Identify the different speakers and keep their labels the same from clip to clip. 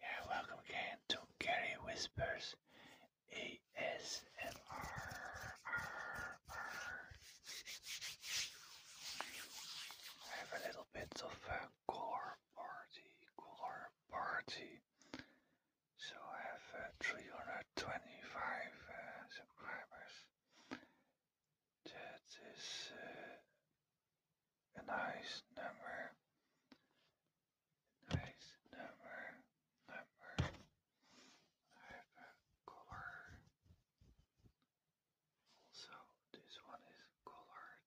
Speaker 1: Yeah, welcome again to Gary Whispers ASMR. I have a little bit of a color party, color party. So I have uh, 325 uh, subscribers. That is uh, a nice number. Nice number, number. I have a color. Also, this one is colored.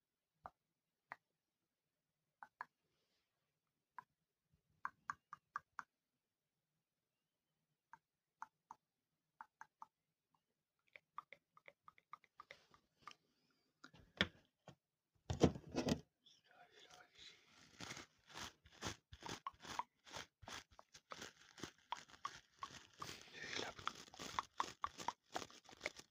Speaker 1: Leyla.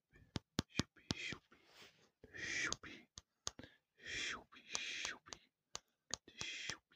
Speaker 1: Shoopy, shoopy, shoopy, shoopy, shoopy, shoopy, shoopy, shoopy.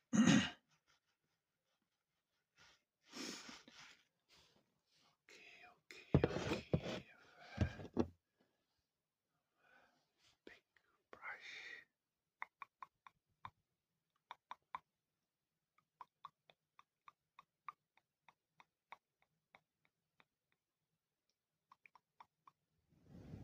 Speaker 1: okay, okay, okay. Big brush.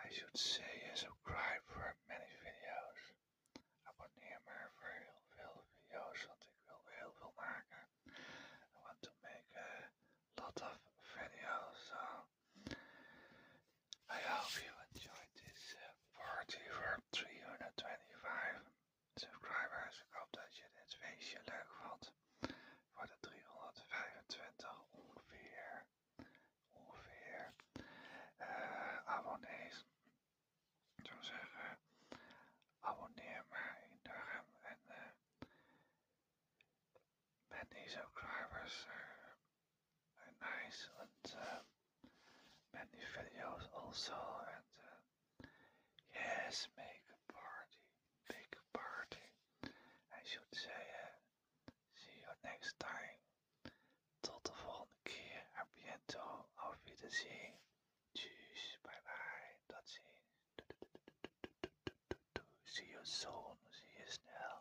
Speaker 1: I should say subscribe for many video's. Abonneer maar voor heel veel video's, want ik wil heel veel maken. I want to make a lot of videos, I hope you enjoyed this uh, party voor 325 subscribers. Ik hoop dat je dit feestje leuk vond. Voor de 325 ongeveer, ongeveer eh abonnees. Ik zou zeggen, abonneer maar in en ben eh, met die subscribers. Eh, are nice and uh, many videos also and uh, yes make a party big party I should say uh, see you next time tot de volgende keer à bientôt te zien. tschüss bye bye tot ziens see you soon see you snel